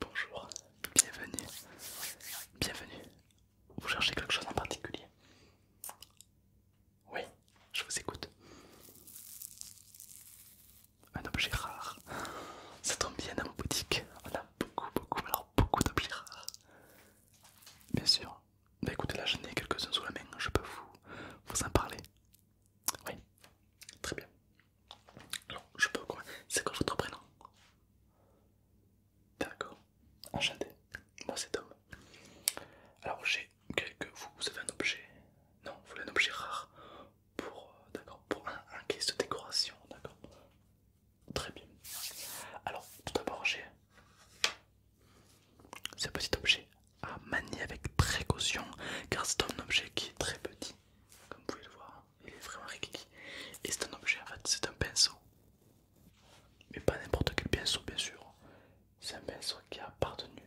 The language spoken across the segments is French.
Bonjour, bienvenue, bienvenue. Vous cherchez quelque chose en particulier Oui, je vous écoute. Un objet rare. Ça tombe bien dans ma boutique. On a beaucoup, beaucoup, alors beaucoup d'objets rares. Bien sûr. Bah écoutez, là j'en ai quelques-uns sous la main, je peux vous en parler. Oui, très bien. Non, je peux quoi C'est quoi votre prénom D'accord, enchanté. Moi c'est Tom. Alors j'ai quelques... Vous, avez un objet Non, vous voulez un objet rare pour... Euh, d'accord, pour un, un caisse de décoration, d'accord. Très bien. Alors, tout d'abord j'ai ce petit objet à manier avec précaution car c'est un objet qui est très petit. Comme vous pouvez le voir, il est vraiment rikiki. Et c'est un objet en fait, c'est un pinceau. Mais pas n'importe quel pinceau bien sûr. C'est un pinceau qui a appartenu.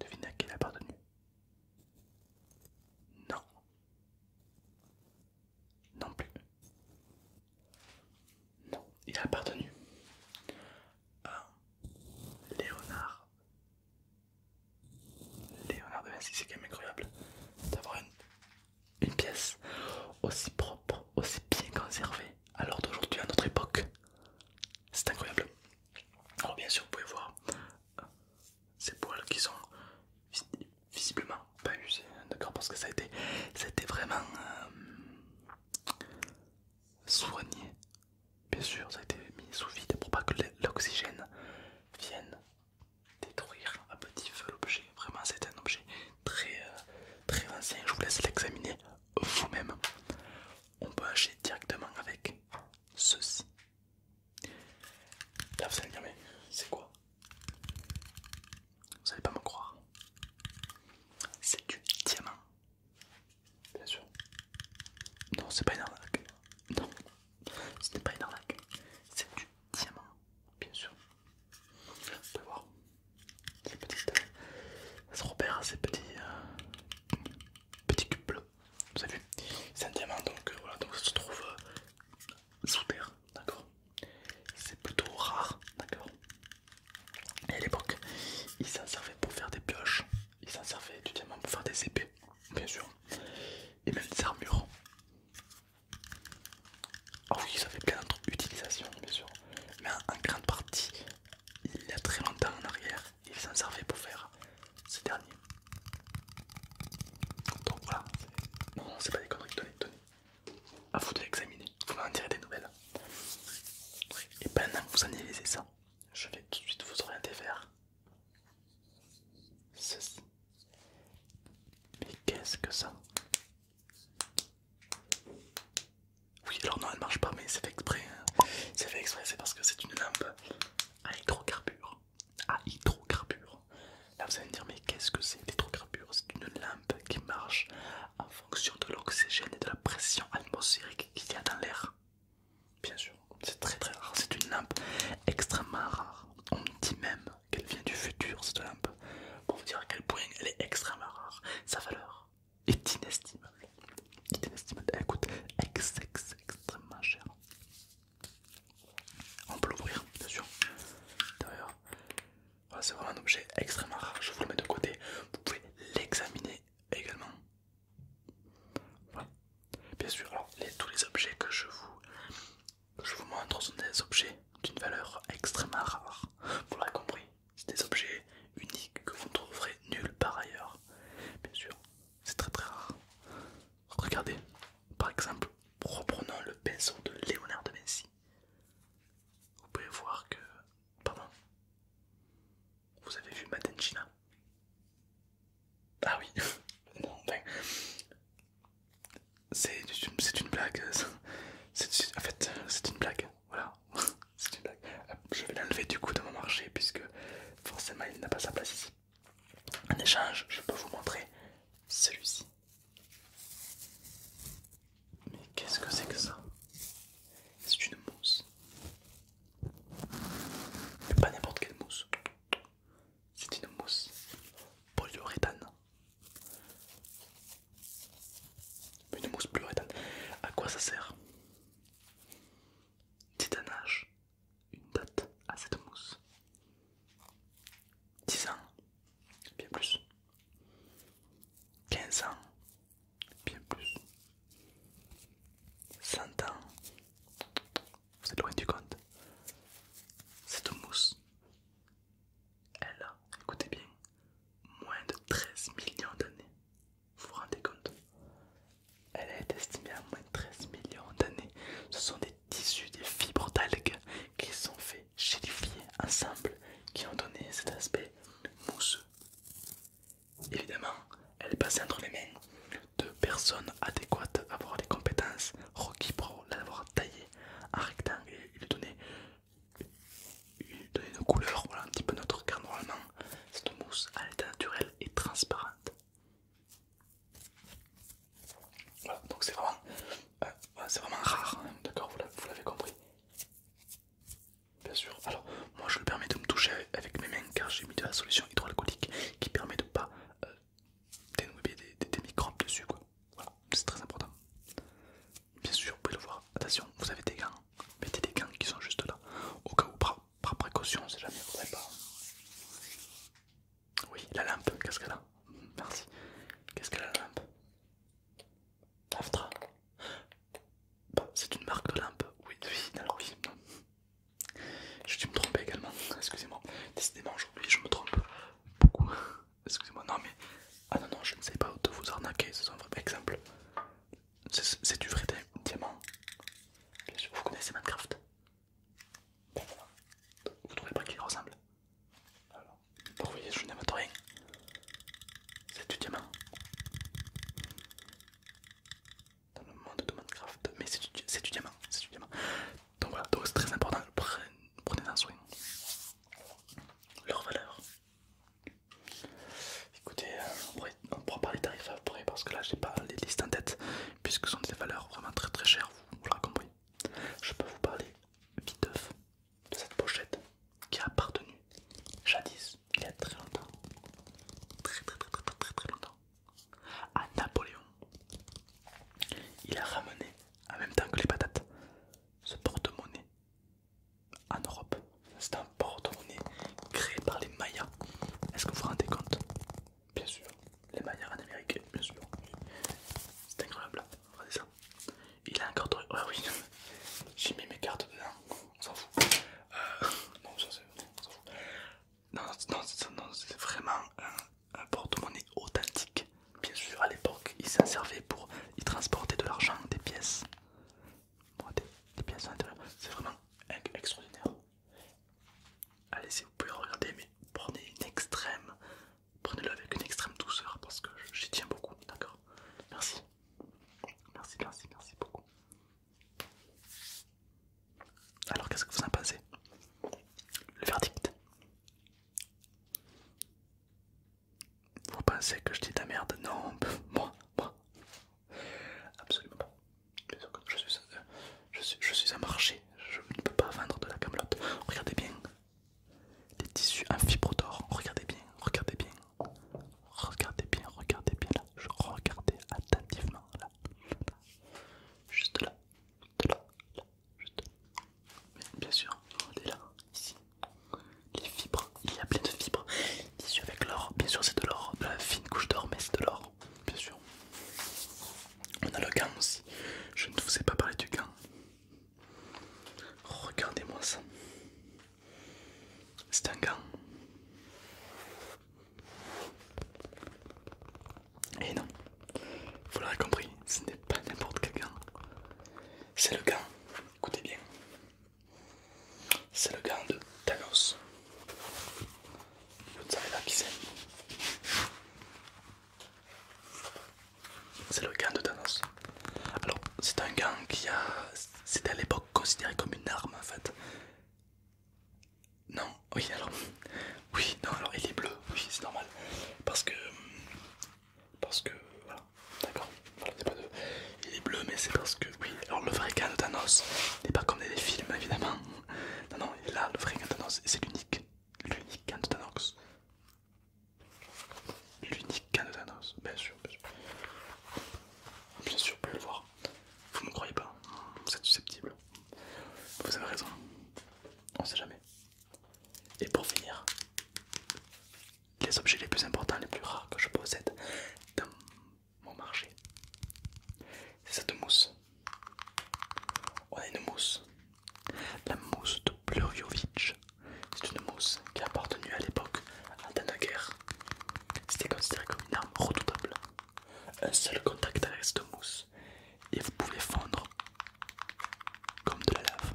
devinez à qui il a appartenu. Non. Non plus. Non, il a appartenu à Léonard Léonard de Vinci, c'est quand même incroyable d'avoir une, pièce aussi propre, aussi bien conservée à l'heure d'aujourd'hui, à notre époque. C'est incroyable. Alors, bien sûr, vous pouvez voir euh, ces poils qui sont visiblement pas usés, hein, d'accord, parce que ça a été, vraiment euh, soigné Bien sûr, ça a été mis sous vide pour pas que l'oxygène vienne détruire à petit feu l'objet. Vraiment, c'est un objet très, euh, très ancien. Je vous laisse l'examiner vous-même. On peut acheter directement avec ceci. Là, vous allez mais c'est quoi Vous allez pas me croire. C'est du diamant. Bien sûr. Non, c'est pas une arnaque. Non, ce n'est pas une arnaque. C'est du diamant, bien sûr. On peut voir. Ces petites... Euh, ça se repère, hein, ces petits... Euh, petits cubes bleus. Vous savez C'est un diamant, donc euh, voilà, donc ça se trouve sous terre, d'accord C'est plutôt rare, d'accord et à l'époque, ils s'en servaient pour faire des pioches, ils s'en servaient du pour faire des épées, bien sûr, et même des armures. Ah oui, ça fait plein d'autres utilisations, bien sûr, mais en grande partie, il y a très longtemps en arrière, il s'en servait pour faire ces derniers. Donc voilà, non, c'est pas des conneries, donnez, donnez. À vous de l'examiner vous m'en direz des nouvelles. Et pendant que vous analysez ça, je vais tout de suite vous orienter vers ceci. Mais qu'est-ce que ça Oui, alors non, elle marche pas, mais c'est fait exprès. Hein. C'est fait exprès, c'est parce que c'est une lampe à hydrocarbure, À hydrocarbure. Là, vous allez me dire, mais qu'est-ce que c'est l'hydrocarbure C'est une lampe qui marche en fonction de l'oxygène et de la pression atmosphérique qu'il y a dans l'air. Bien sûr, c'est très très rare, c'est une lampe extrêmement rare. On me dit même qu'elle vient du futur cette lampe, pour vous dire à quel point elle est extrêmement rare. Sa valeur est inestimable, elle coûte extrêmement cher. On peut l'ouvrir, bien sûr. D'ailleurs, c'est vraiment un objet extrêmement rare. Je vous le mets de côté. Vous pouvez l'examiner également. Bien sûr, alors les, tous les objets que je vous, je vous montre sont des objets d'une valeur extrêmement rare. Vous l'aurez compris, c'est des objets uniques que vous ne trouverez nulle part ailleurs. Bien sûr, c'est très très rare. Regardez, par exemple, reprenons le pinceau de Léonard de Vinci. Vous pouvez voir que Pardon Vous avez vu Madden China Ah oui ben, C'est une, blague. en fait, c'est une blague. Voilà. c'est une blague. Je vais l'enlever du coup de mon marché puisque forcément il n'a pas sa place ici. En échange, je peux vous montrer celui-ci. Mais qu'est-ce que c'est que ça C'est une mousse. Mais pas n'importe quelle mousse. C'est une mousse polyuréthane. Une mousse polyuréthane. À quoi ça sert Titanage. Une date à cette mousse. 10 ans, bien plus. 15 ans, bien plus. 100 ans, vous êtes loin du compte. Cette mousse, elle a, écoutez bien, moins de 13 millions d'années. Vous vous rendez compte Elle est estimée à moins de 13 millions d'années. Ce sont des tissus, des fibres d'algues qui sont faits, un ensemble, qui ont donné cet aspect mousse Évidemment, elle passée entre les mains de personnes adéquates à avoir les compétences requis pour l'avoir taillé en rectangle et lui donner, une couleur voilà, un petit peu notre car normalement cette mousse à l'état naturel et transparente. donc c'est vraiment, euh, vraiment rare, hein. d'accord, vous l'avez compris. Bien sûr, alors moi je le permets de me toucher avec mes mains car j'ai mis de la solution hydroalcoolique qui permet de pas euh, dénouer des, microbes dessus quoi. Voilà, c'est très important. Bien sûr, vous pouvez le voir. Attention, vous avez des gants, mettez des gants qui sont juste là. Au cas où, par, précaution, c'est jamais vous Oui, la lampe, qu'est-ce qu'elle a Merci. Qu'est-ce qu'elle a la lampe Aftra c'est une marque de lampe. Oui, oui, alors oui. J'ai dû me tromper également. Excusez-moi. Décidément, aujourd'hui, je me trompe beaucoup. Excusez-moi. Non, mais. Ah non, non, je ne sais pas de vous arnaquer. C'est un vrai exemple. C'est du vrai diamant. vous connaissez Minecraft. Ben vous trouvez pas qu'il ressemble vous voyez je n'aime rien. C'est du diamant. Dans le monde de Minecraft. Mais c'est du, diamant, Donc voilà, donc c'est très important, prenez-en soin. Leur valeur. Écoutez, euh, on pourra parler tarifs après parce que là j'ai pas les listes en tête puisque ce sont des valeurs vraiment très très chères, vous, l'aurez compris. Je peux vous parler vite de cette pochette qui a appartenu jadis, il y a très longtemps, très très très très très, très longtemps, à Napoléon. Il a ramené, en même temps que les patates, ce porte-monnaie en Europe. C'est un porte-monnaie créé par les Mayas. Est-ce que vous vous rendez compte Bien sûr, les Mayas en Amérique, bien sûr. C'est incroyable, il a un carton. oui, j'ai mis mes cartes dedans. On s'en fout. Euh, non, ça c'est. Non, non, non c'est vraiment un, porte-monnaie authentique. Bien sûr, à l'époque, il s'en servait pour y transporter de l'argent, des pièces. des, pièces à l'intérieur. C'est vraiment extraordinaire. Allez, si vous pouvez regarder, mais prenez une extrême prenez-le avec une extrême douceur parce que j'y tiens beaucoup, d'accord Merci. Merci, merci, merci beaucoup. Alors qu'est-ce que vous en pensez Le verdict Vous pensez que je dis de la merde Non, moi, moi. Absolument pas. Euh, je suis, je suis un marché, je ne peux pas vendre de la camelote. Regardez bien les tissus en fibre d'or. Regardez bien, regardez bien, regardez bien, regardez bien là. Je regardais attentivement là, juste là, là, juste là. bien sûr, est là, ici, les fibres. Il y a plein de fibres. tissus avec l'or, bien sûr, c'est de l'or, la fine couche d'or, mais c'est de l'or, bien sûr. On a le gant aussi. Je ne vous ai pas parlé du gant. Oh, regardez-moi ça. C'est un gant. Et eh non, vous l'aurez compris, ce n'est pas n'importe quel gant. C'est le gant, écoutez bien, c'est le gant de Thanos. Vous savez là qui c'est c'est le gant de Thanos. Alors, c'est un gant qui a. C'était à l'époque considéré comme une arme en fait. Non, oui, alors. Oui, non, alors il est bleu, oui, c'est normal. Parce que. Parce que. Voilà, d'accord. pas de. Il est bleu, mais c'est parce que. Oui, alors le vrai gant de Thanos n'est pas comme dans les films évidemment. Non, non, là, le vrai gant de Thanos, c'est l'unique. L'unique gant de Thanos. L'unique canne bien sûr, bien sûr. Bien sûr, vous pouvez le voir. Vous me croyez pas, vous êtes susceptible. Vous avez raison, on sait jamais. Et pour finir, les objets les plus importants, les plus rares que je possède dans mon marché, c'est cette mousse. On a une mousse la mousse de Pluriovic. c'est une mousse qui appartenait à l'époque à guerre C'était considéré comme une arme redoutable. Un seul contact avec cette mousse et vous pouvez fondre comme de la lave.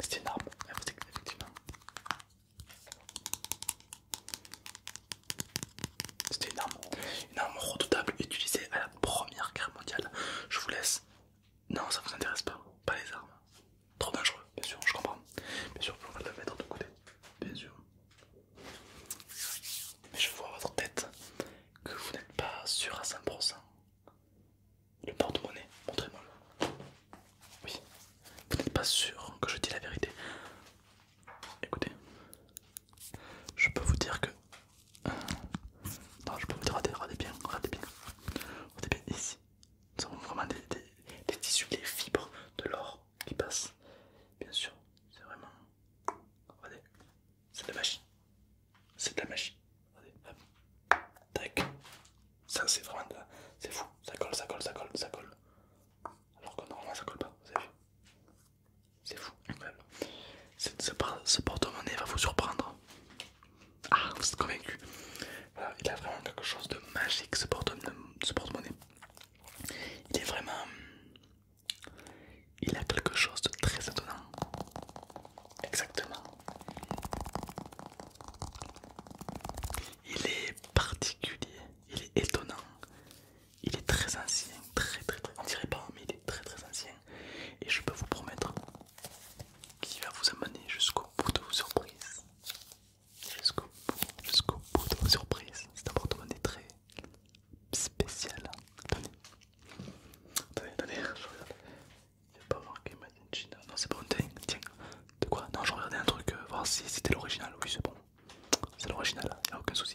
C'était une arme, effectivement. C'était une arme une arme redoutable utilisée à la première guerre mondiale. Je vous laisse. Non, ça vous intéresse pas, pas les armes. Trop dangereux, bien sûr, je comprends. Bien sûr, on va le mettre de côté, bien sûr. Mais je vois à votre tête que vous n'êtes pas sûr à 100%. Le porte-monnaie, montrez-moi. Oui, vous n'êtes pas sûr que je dis la vérité. Écoutez, je peux vous dire que non, je peux vous dire, regardez, bien, regardez bien. Regardez bien ici. ce sont vraiment des, tissus, des fibres de l'or qui passent. Bien sûr, c'est vraiment. Regardez, c'est de la magie. C'est de la magie. Regardez, hop. Tac. Ça, c'est vraiment de la. C'est fou. Ça colle, ça colle, ça colle, ça colle. Alors que normalement, ça colle pas, vous avez vu. C'est fou, incroyable. Ce porte-monnaie va vous surprendre. Ah, vous êtes convaincu. il a vraiment quelque chose de magique ce porte-monnaie. Il est vraiment. Il a quelque chose de très étonnant. Exactement. Il est particulier, il est étonnant, il est très ancien, très très très. On dirait pas, mais il est très très ancien. Et je peux vous promettre qu'il va vous amener jusqu'au bout de vos surprises. Jusqu'au bout, jusqu'au bout de vos surprises. Cet appartement est très spécial. Attendez. Attendez, attendez, je regarde. Il pas voir pas marqué Made in Non, c'est bon, tiens, tiens. De quoi Non, je regardais un truc, euh, voir si c'était l'original. Oui, c'est bon. C'est l'original, il n'y a aucun souci.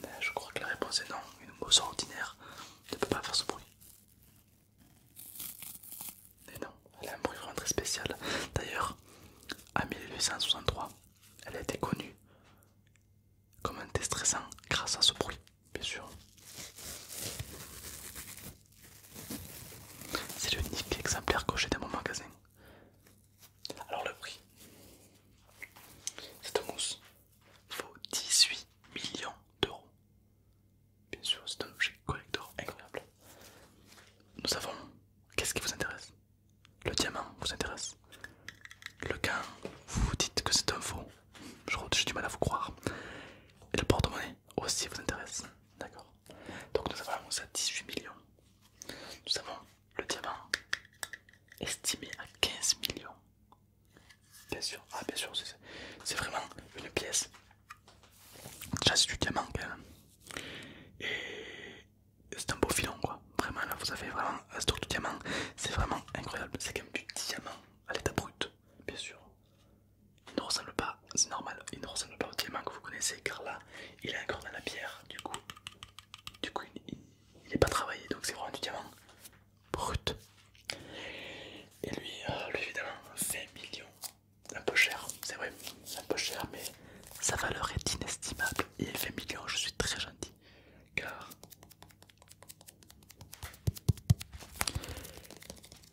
ben, je crois que la réponse est non. Une mousse ordinaire ne peut pas faire ce bruit. mais non, elle a un bruit vraiment très spécial. D'ailleurs, en 1863, elle a été connue comme un déstressant grâce à ce bruit, bien sûr. C'est l'unique exemplaire que j'ai dans mon magasin. Alors le prix. Cette mousse vaut 18 millions d'euros. Bien sûr, c'est un objet collector incroyable. Nous avons. Qu'est-ce qui vous intéresse Le diamant vous intéresse Le gain, vous vous dites que c'est un faux. J'ai du mal à vous croire. Et le porte-monnaie aussi vous intéresse. D'accord Donc nous avons ça 18 millions. Nous avons le diamant estimé à 15 millions. Bien sûr, ah bien sûr, c'est vraiment une pièce. j'ai c'est du diamant quand Et c'est un beau filon quoi. Vraiment là vous avez vraiment un stock de diamant. C'est vraiment incroyable. C'est quand même du diamant à l'état brut, bien sûr. Il ne ressemble pas, c'est normal, il ne ressemble pas au diamant que vous connaissez car là il est encore dans la pierre du coup. Du coup il n'est pas travaillé donc c'est vraiment du diamant brut. Et lui, euh, lui évidemment 20 millions, un peu cher, c'est vrai, c'est un peu cher mais sa valeur est inestimable et 20 millions je suis très gentil car,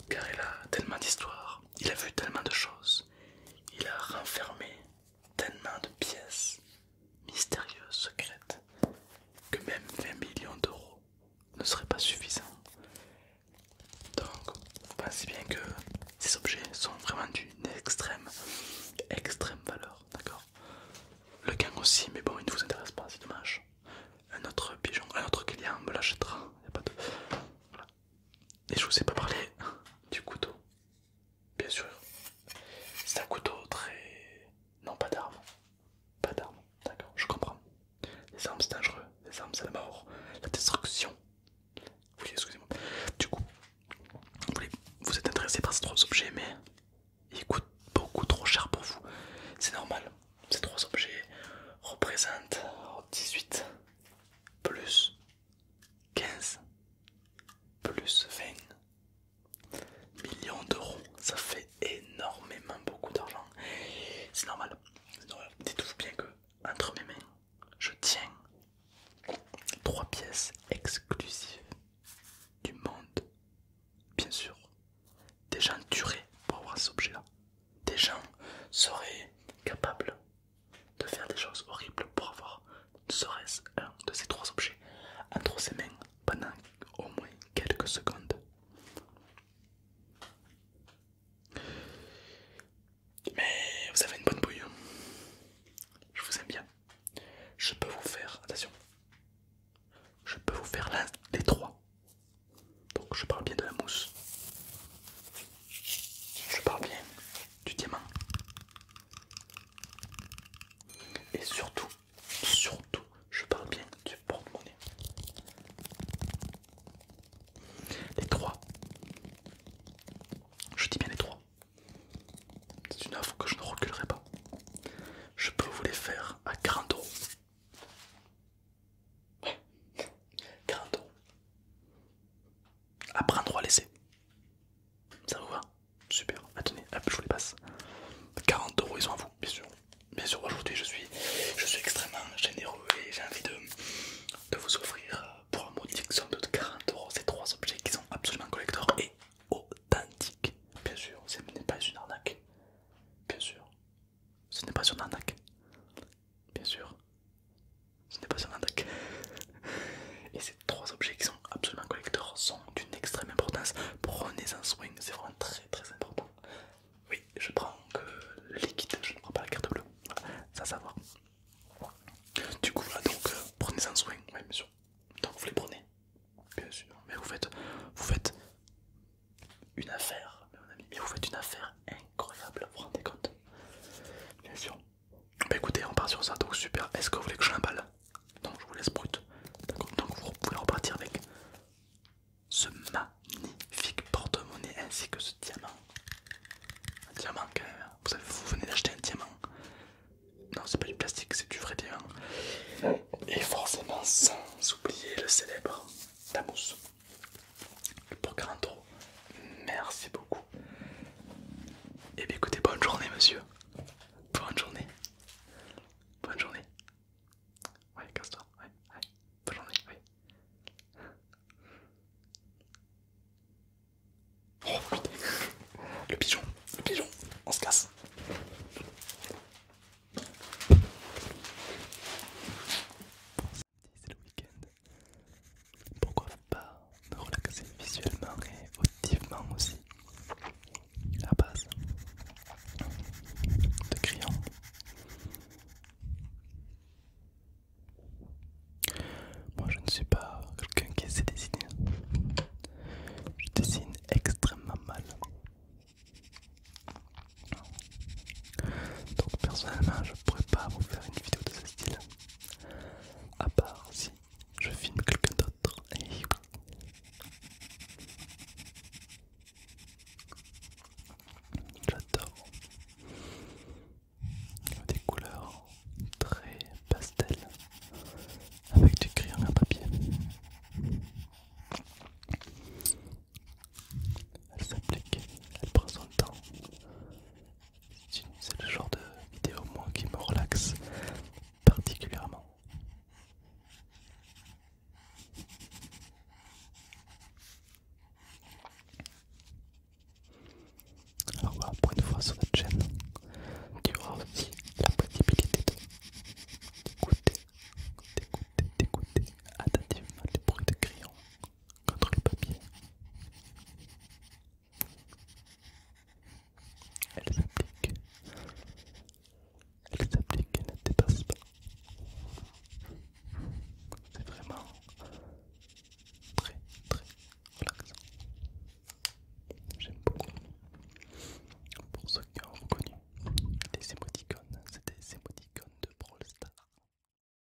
car il a tellement d'histoires, il a vu tellement de choses, il a renfermé tellement de pièces mystérieuse secrète que même 20 millions d'euros ne serait pas suffisant. Donc, pensez bien que ces objets sont vraiment d'une extrême, extrême valeur, d'accord Le gang aussi, mais bon, il ne vous intéresse pas, c'est dommage. Un autre pigeon, un autre client me l'achètera, pas Et je vous ai pas parlé du couteau. Bien sûr. C'est un couteau très... Non, pas d'armes, Pas d'armes, d'accord, je comprends. Les armes, c'est dangereux. Les armes, c'est la mort, la destruction. Oui, excusez-moi. Du coup, vous, vous êtes intéressé par ces trois objets, mais ils coûtent beaucoup trop cher pour vous. C'est normal. Ces trois objets représentent 18 plus 15 plus 20 millions d'euros, ça fait énormément beaucoup d'argent. C'est normal. normal. Dites-vous bien que entre mes mains, je tiens trois pièces exclusives du monde, bien sûr. Des gens durés pour avoir cet objet-là. Des gens seraient capables de faire des choses horribles pour avoir serait-ce un de ces trois objets entre ses mains pendant au moins quelques secondes. Mais vous avez une bonne bouille. Hein. Je vous aime bien. Je peux vous faire... Attention. Je peux vous faire l'un des trois. Donc je parle bien de la mousse. Je parle bien du diamant. Et surtout, surtout, je parle bien du porte-monnaie. Les trois. Je dis bien les trois. C'est une offre que je ne reculerai pas. Je peux vous les faire à 40 euros. 40 euros. À prendre ou à laisser. Ça vous va Super. attendez je vous les passe. 40 euros, ils sont à vous, bien sûr. Bien sûr, aujourd'hui, je suis, je suis extrêmement généreux et j'ai envie de, vous offrir euh, pour un modique somme de 40 euros ces trois objets qui sont absolument collector et authentiques. Bien sûr, ce n'est pas une arnaque. Bien sûr, ce n'est pas une arnaque. Bien sûr, ce n'est pas un attaque. Et ces trois objets qui sont absolument collecteurs sont d'une extrême importance. Prenez-en soin, c'est vraiment très très important. Oui, je prends que le liquide, je ne prends pas la carte bleue. Ça, ça va. Du coup, donc, euh, prenez-en soin, oui, bien sûr. Donc, vous les prenez, bien sûr. Mais vous faites, vous faites une affaire, mon ami. Mais vous faites une affaire incroyable, vous vous rendez compte Bien sûr. Bah écoutez, on part sur ça, donc super. Est-ce que vous voulez que je l'emballe Non, je vous laisse brut. donc vous pouvez repartir avec ce magnifique porte-monnaie ainsi que ce diamant. Un diamant quand même. Hein. Vous, venez d'acheter un diamant. Non, c'est pas du plastique, c'est du vrai diamant. Et forcément, sans oublier le célèbre, ta mousse. Pour 40 Merci beaucoup. et eh bien écoutez, bonne journée monsieur. Bonne journée. Bonne journée. Ouais, casse-toi. Ouais, ouais. Bonne journée, ouais. Oh putain. Le pigeon. Le pigeon. On se casse c'est le week-end. Pourquoi pas me relaxer visuellement et auditivement aussi La base de crayons. Moi je ne suis pas quelqu'un qui sait dessiner. Je dessine extrêmement mal. Donc personnellement je pourrais pas vous faire une vidéo de ce style. À part si je filme quelqu'un d'autre. J'adore. Des couleurs très pastel avec du crayon à papier. Elle s'applique, elle prend son temps, c'est le genre de vidéo moi qui me relaxe particulièrement. Alors voilà, pour une fois sur notre chaîne, tu auras aussi la possibilité d'écouter, d'écouter, d'écouter attentivement les bruits de crayons contre le papier. Elle s'applique. Elle s'applique et ne dépasse pas. C'est vraiment très très relaxant. J'aime beaucoup. Pour ceux qui ont reconnu les émoticônes, c'était des émoticônes de Brawl Stars.